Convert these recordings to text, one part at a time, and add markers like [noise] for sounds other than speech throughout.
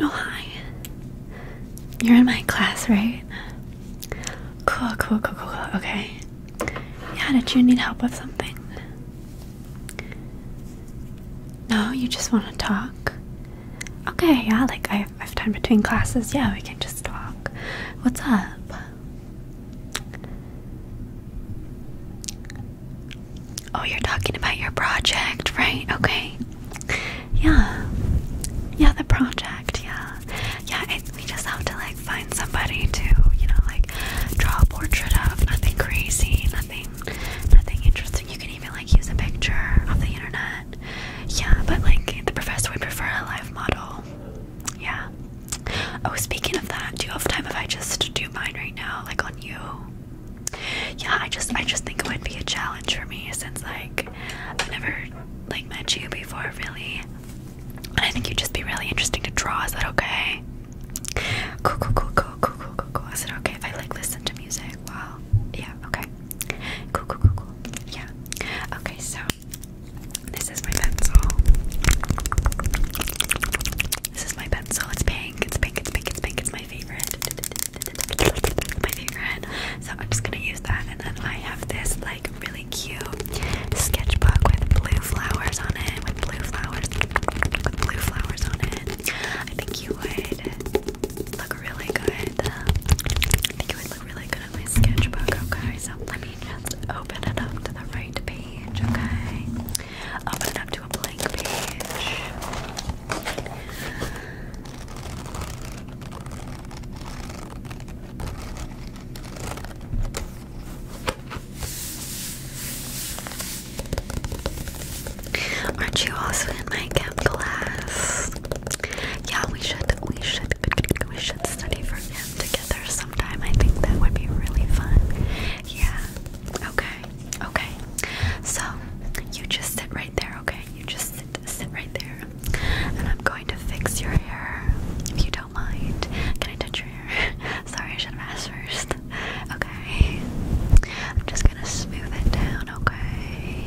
Oh, hi. You're in my class, right? Cool, cool, cool, cool, cool. Okay. Yeah, did you need help with something? No, you just want to talk? Okay, yeah, like I have time between classes. Yeah, we can just talk. What's up? Oh, you're talking about your project, right? Okay. Yeah. Yeah, the project, yeah. Yeah, we just have to like find somebody to, you know, like draw a portrait of. Nothing crazy, nothing nothing interesting. You can even like use a picture of the internet. Yeah, but like the professor would prefer a live model. Yeah. Oh, speaking of that, do you have time if I just do mine right now, like on you? Yeah, I just, I just think it would be a challenge for me since like I've never like met you before, really. And I think you'd just be really interesting to draw. Is that okay? Cool, cool, cool, cool, cool, cool, cool, cool. Is it okay if I like listen to music? Wow. Yeah. Okay. Cool, cool, cool, cool. Yeah. Okay. So this is my pencil. This is my pencil. It's pink. It's pink. It's pink. It's pink. It's my favorite. My favorite. So I'm just gonna use that, and then I have this like really cute sketchbook with blue flowers on it. With blue flowers. With blue flowers on it. I think you would look really good. I think it would look really good on my sketchbook. Okay, so let me just open it up to the right page, okay? Open it up to a blank page. Aren't you also in my chem class? Yeah, we should, we should, we should study for chem together together sometime. I think that would be really fun. Yeah. Okay. Okay. So you just sit right there, okay? You just sit sit right there. And I'm going to fix your hair if you don't mind. Can I touch your hair? [laughs] Sorry, I should have asked first. Okay. I'm just gonna smooth it down, okay?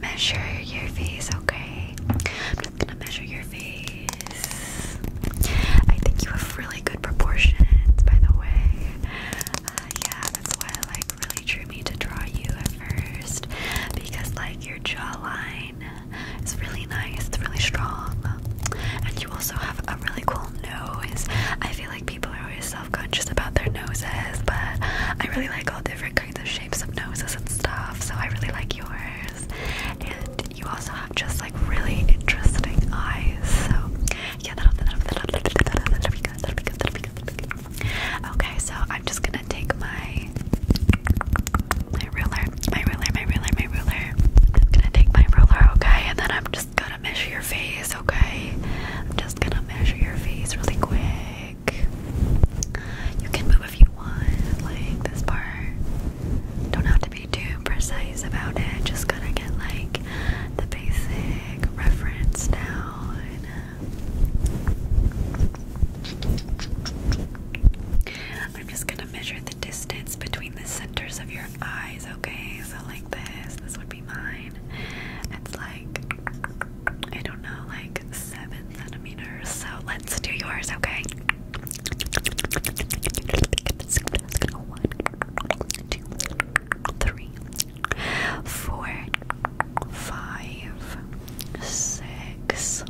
measure your face, okay? I'm just gonna measure your face. I think you have really good proportions, by the way. Uh, yeah, that's why I like really drew me to draw you at first because like your jawline is really nice, it's really strong, and you also have a really cool nose. I feel like people always conscious about their noses, but I really like all different kinds of shapes of noses and stuff, so I really like yours. And you also have just like really interesting eyes. So yeah, that'll, that'll, Okay, so I'm just gonna take my my ruler, my ruler, my ruler, my ruler. I'm gonna take my ruler, okay, and then I'm just gonna measure your face, okay? I'm just gonna measure your face really quick you can move if you want, like this part. Don't have to be too precise about it, just gotta get like the basic reference down. I'm just gonna measure the distance between the centers of your eyes, okay? So, like this, this would be mine. It's like I don't know, like seven centimeters. So let's do yours, okay? One, two, three, four, five, six,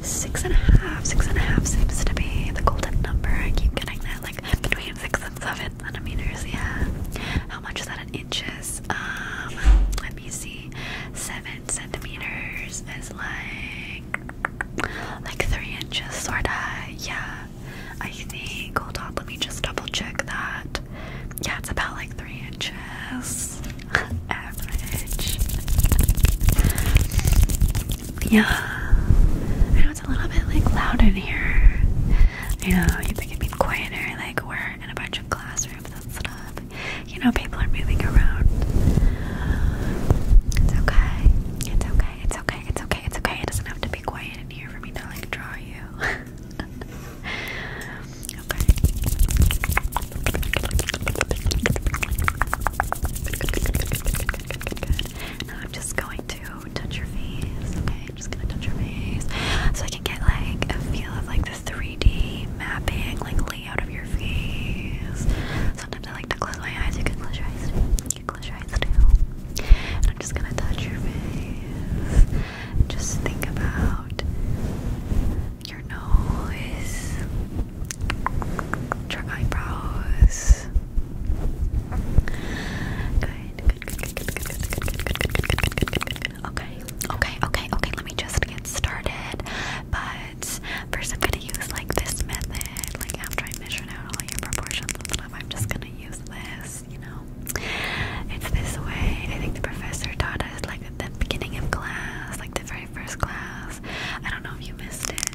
six and a half. Six and a half seems to be the golden number. I keep getting that, like between six and seven centimeters. Yeah. How much is that in inches? um let me see seven centimeters is like like three inches sorta yeah I think hold on let me just double check that yeah it's about like three inches [laughs] average yeah I know it's a little bit like loud in here you know you think it'd quieter like where and a bunch of classrooms and stuff. You know, people are moving around. It's okay. It's okay. It's okay. It's okay. It's okay. It doesn't have to be quiet in here for me to like draw you. [laughs] okay. Now I'm just going to Oh, touch your face. Okay, I'm just gonna touch your face so I can get like a feel of like the 3D mapping, like layout of your face. Sometimes I like to close my eyes. You can close your eyes You close your eyes too. I'm just gonna touch your face. Just think about your nose, your eyebrows. Good, good, Okay, okay, okay, okay. Let me just get started. But first, I'm gonna use like this method. Like after I measure out all your proportions I'm just gonna use this. You know, it's this way. I think the professor taught us like at the beginning of class, like the very first class. I don't know if you missed it.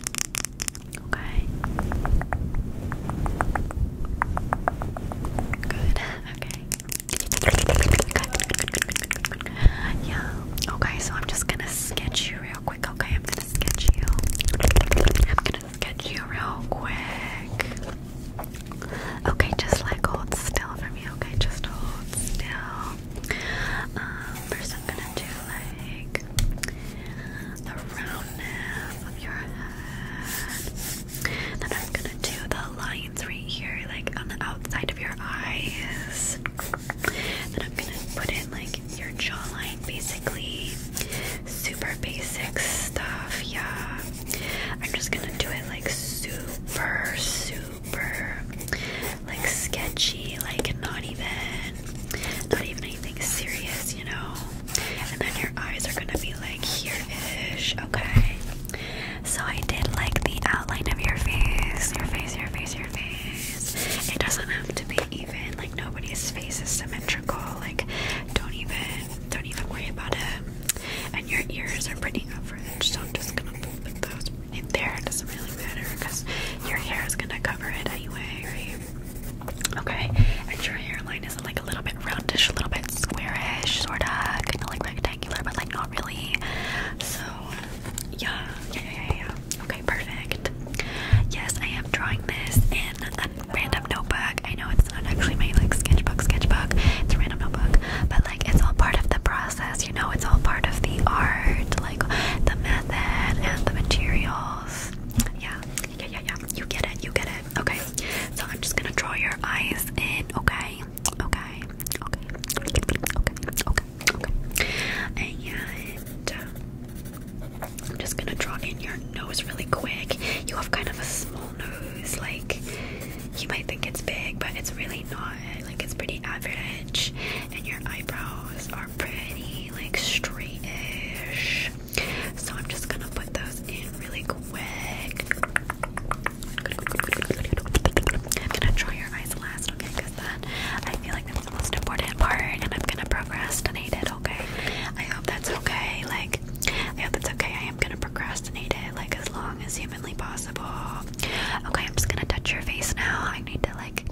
Okay. Good. Okay. Yeah. Okay, so I'm just gonna sketch you real quick. Okay, I'm gonna sketch you. I'm gonna sketch you real quick. Okay, just like hold still for me. Okay, just hold still. Um, first I'm gonna do like the roundness of your head. Then I'm gonna do the lines right here, like on the outside of your eyes. Then I'm gonna put in like your jawline, basically. Super basic stuff, yeah. I'm just gonna do it like super, super, like sketchy, like not even, not even anything serious, you know and then your eyes are gonna be like here-ish, okay? So I did like the outline of your face, your face, your face, your face. It doesn't have to be even, like nobody's face is symmetrical, like don't even don't even worry about it. And your ears are pretty average, so I'm just gonna put those in there. It doesn't really matter because your hair is gonna cover it anyway, right? Okay, and your hairline is like a little bit roundish, a little bit squarish, sorta, kind of like rectangular, but like not really. So, yeah, yeah, yeah, yeah, Okay, perfect. Yes, I am drawing this in a random notebook. I know it's not actually my like sketchbook, sketchbook. It's a random notebook, but like it's all part of the process. You know, it's all part of the art, like the method and the materials. Yeah. Yeah, yeah, yeah. You get it. You get it. Okay. So I'm just gonna draw your eyes in. Okay. Okay. Okay. Okay. Okay. Okay. And uh, I'm just gonna draw in your nose really quick. You have kind of a small nose. Like you might think it's big, but it's really not. Like it's pretty average. And your eyebrows are pretty like straightish. So I'm just gonna put those in really quick. I'm gonna draw your eyes last, Because then I feel like that's the most important part, and I'm gonna procrastinate it, okay? I hope that's okay. Like, I hope that's okay. I am gonna procrastinate it, like, as long as humanly possible. Okay, I'm just gonna touch your face now. I need to, like,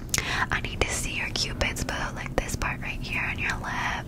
I need to see your cupid's bow, like this part right here on your lip.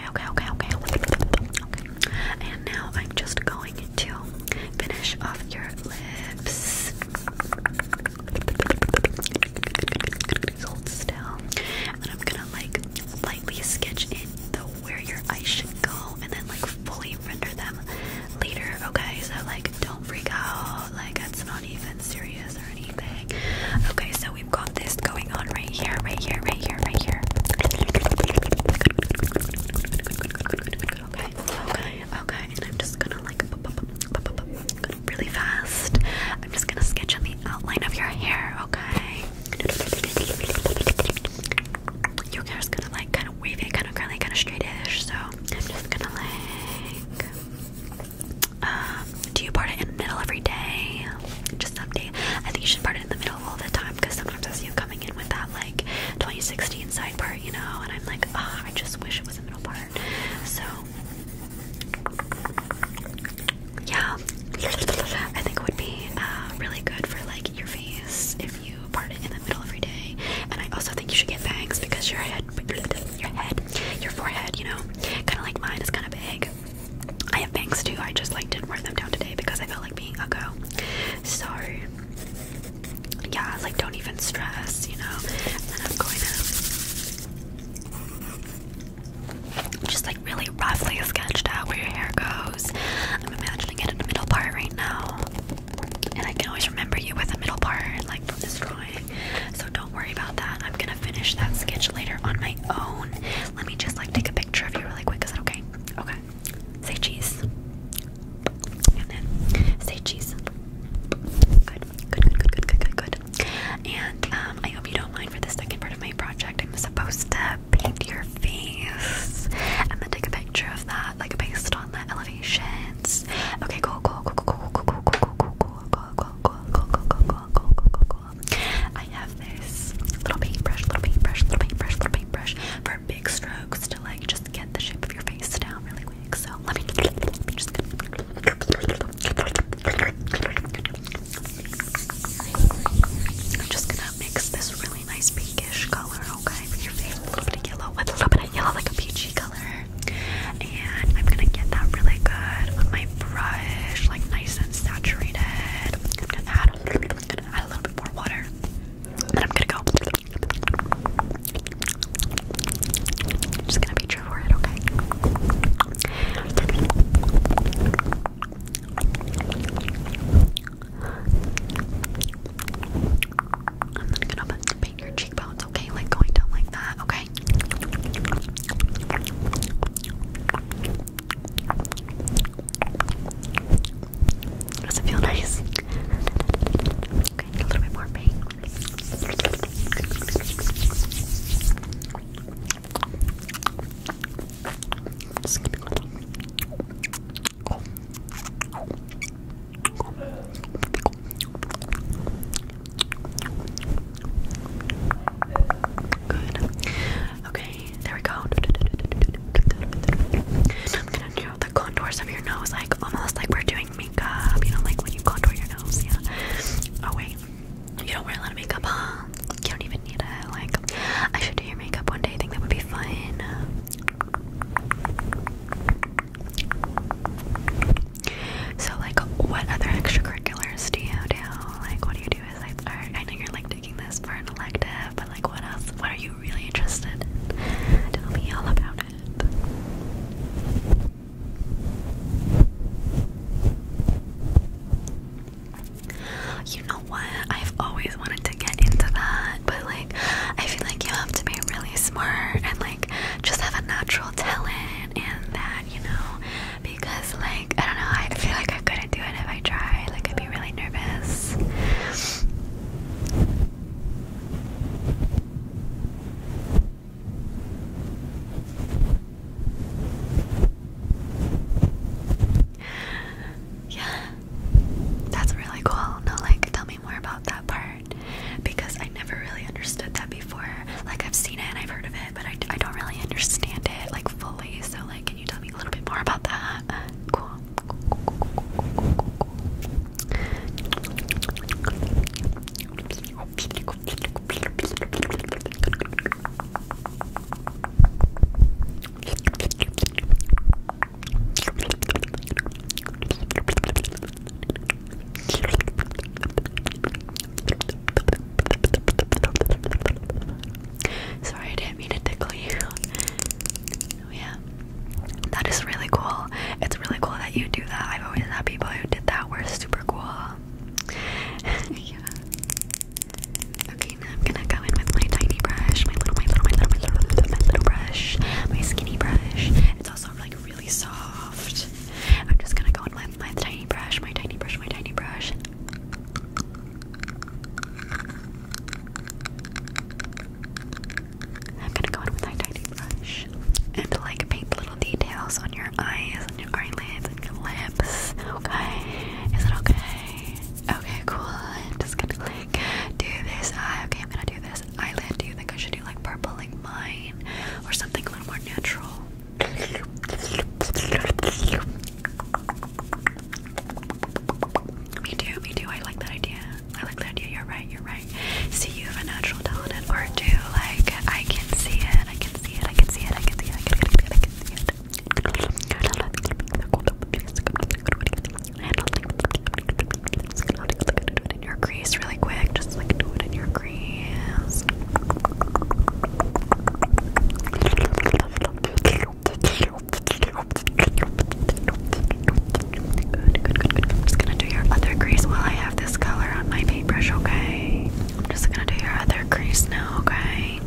Okay, okay, okay, okay. And now I'm just going to finish off your lips. Hold still. And then I'm gonna like lightly sketch in where your eyes should go and then like fully render them later. Okay, so like don't freak out, like it's not even serious gloss or anything. Okay, so we've got this going on right here, right here, right here, right here. Okay, okay, okay. And I'm just gonna like really fast. I'm just gonna sketch in the outline of your hair, okay? Your hair's gonna like kind of wavy, kind of curly, kind of straightish. So I'm just gonna like um, do you part it in the middle every day? Just some day. I think you should part it in the middle all the time because sometimes I see you coming in with that like 2016 side part, you know, and I'm like, ah, I just wish it was a middle part. So, yeah, I think it would be uh, really good for like your face if you part it in the middle every day. And I also think you should get bangs because your head, your head, your forehead, you know, kind of like mine is kind of big. I have bangs too. I just like didn't wear them down today because I felt like being a girl. So yeah, like don't even stress, you know. And I'm going to just like really roughly sketched out where your hair goes. I'm imagining it in the middle part right now, and I can always remember you with the middle part, like from this drawing. So don't don't worry about that. I'm gonna finish that sketch later on my own. Let me just like take a picture of you really quick. Is that okay? Okay. Say cheese. And then say cheese. Good, good, good, good, good, good, good, good. And um, I hope you don't mind for the second part of my project. I'm supposed to paint your face and then take a picture of that, like based on the elevations. Okay, cool, cool, cool, cool, cool, cool, cool, cool, cool, cool. I have this little paintbrush, little paintbrush, little paintbrush, little paintbrush for big strokes to like just get the shape of your face down really quick. So let me, just. gonna mix this really nice pinkish color, okay, for your face. A little bit yellow with a little bit yellow, like a peachy color and I'm gonna get that really good with my brush, like nice and saturated. I'm gonna add, a little bit more water, and I'm gonna go. I'm just gonna be true for it, okay? I'm gonna paint your cheeks cheekbones, okay? Like going down like that, okay? Does it feel nice? Okay, a little bit more pain. Just oh. Oh. Okay, there we go. I'm gonna do the contours of your nose, like almost like we're doing makeup, you know, like when you contour your nose, yeah. Oh, wait, you don't wear a lot of makeup, huh? You don't even need it. Like, I should do your makeup one day, I think that would be fun. So like, what other extracurriculars do you do? Like, what do you do besides art? I know you're like taking this for an elective, but like, what else? What are you really interested in? Tell me all about it. You know what? I've always wanted to get into that, but like, I feel like you have to be really smart and like just have a natural talent, and that you know? Because, like, I don't know, I feel like I couldn't do it if I tried. Like, I'd be really nervous. Yeah, that's really cool. No, like, tell me more about that part because I never really understood that before. Like I've seen it and I've heard of it, but I, don't really understand it like fully. So like, can you tell me a little bit more about that? Sorry, I didn't mean to tickle you. Oh, [laughs] yeah. That is really cool. It's really cool that you do that. I've always had people who did that were super cool. [laughs] yeah. Okay, now I'm gonna go in with my tiny brush, my little, my little, my little, my little, my little brush, my skinny brush. It's also like really soft. I'm just gonna go in with my tiny brush, my tiny brush, my tiny brush. I'm gonna go in with my tiny brush and like paint little details on your eyes, on your eyelids, and your lips. Okay, is it okay? Okay, cool. I'm just gonna like do this eye. Okay, I'm gonna do this eyelid? Do you think I should do like purple like mine or something a little more neutral? Me too, me too. I like that idea. I like that idea. You're right, you're right. See, you have a natural talent at art Like, I can see it, I can see it, I can see it, I can see it, I can see it. I can see it in your crease really quick. Just like do it in your crease. I'm just gonna do your other crease while I have this color on my paintbrush, okay? I'm just gonna do your other crease now, okay?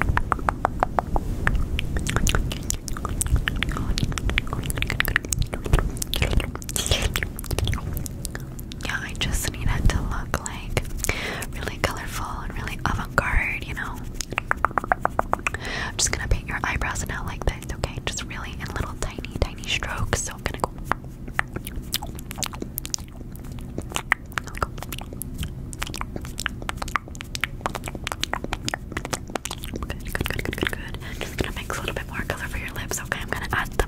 yeah, I just need it to look like really colorful and really avant-garde, you know. I'm just gonna paint your eyebrows now like this, okay? Just really in little tiny, tiny strokes. So I'm gonna go. Good, good, good, good, good, good. just gonna mix a little bit more color for your lips, okay? I'm gonna add the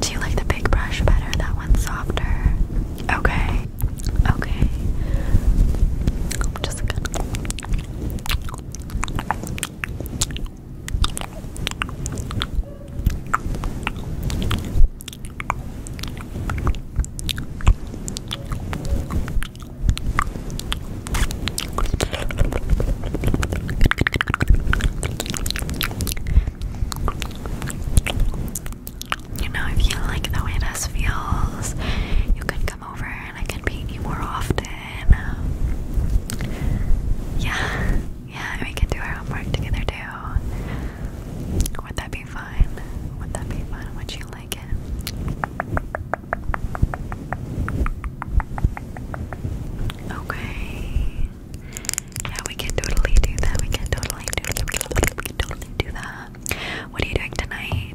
Do you like the big brush better? That one's softer. Okay. Okay. I'm just gonna. You know, if you like the way this feels, you can come over and I can paint you more often. Yeah, yeah, we can do our homework together too. Would that be fun? Would that be fun? Would you like it? Okay. Yeah, we can totally do that. We can totally do that. We can totally do that. What are you doing tonight?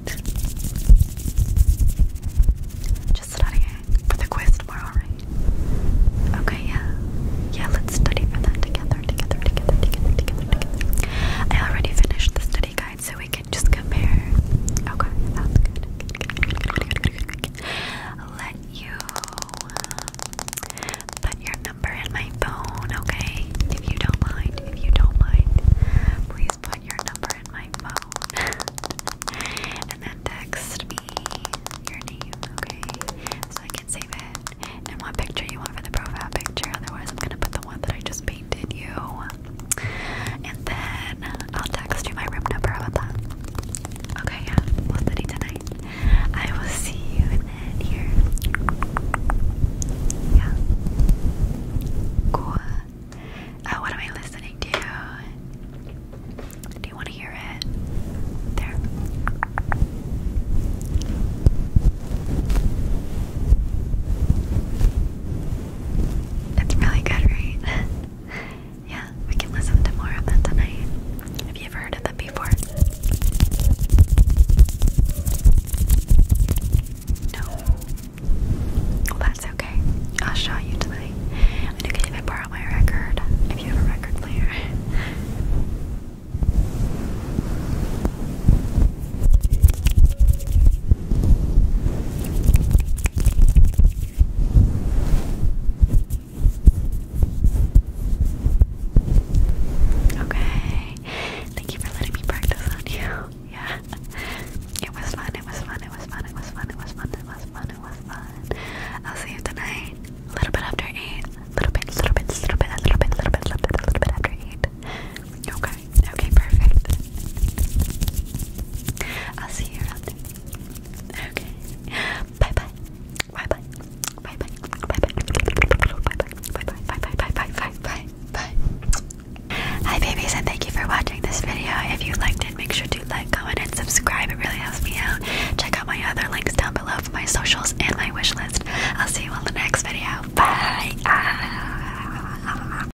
Just studying for the quiz tomorrow, right? Okay, yeah. Yeah, let's study for that together, together, together, together, together, together. I already finished the study guide so we can just compare. Okay, Let you put your number in my phone, okay? If you don't mind, if you don't mind, please put your number in my phone [laughs] and then text me your name, okay? So I can save it. And what picture you want for the profile picture, otherwise, I'm gonna put the one that I just painted you. And then I'll text you my room number about that. Okay, yeah, we'll study tonight. I will see you then here. Yeah. Cool. Oh, what am I listening to? Do you want to hear it? There. It's really good, right? [laughs] Yeah, we can listen to more of that tonight. Have you ever heard of them before? No. Well, that's okay. I'll show you tonight. And can even borrow my record if you have a record player. Okay. Thank you for letting me practice on you. [laughs] Yeah. It was fun. It was fun. It was fun. It was fun. It was fun. It was fun. It was fun. I'll see you tonight. little bit after eight. little bit. Little bit. Little bit. Little bit. Little bit. Little bit. Little bit after eight. Okay. Okay. Perfect. I'll see you around. Okay. Bye. Bye. Bye bye. Hi babies and thank you for watching this video. If you liked it, make sure to like, comment, and subscribe. It really helps me out. Check out my other links down below for my socials and my wish list. I'll see you on the next video. Bye. Ah.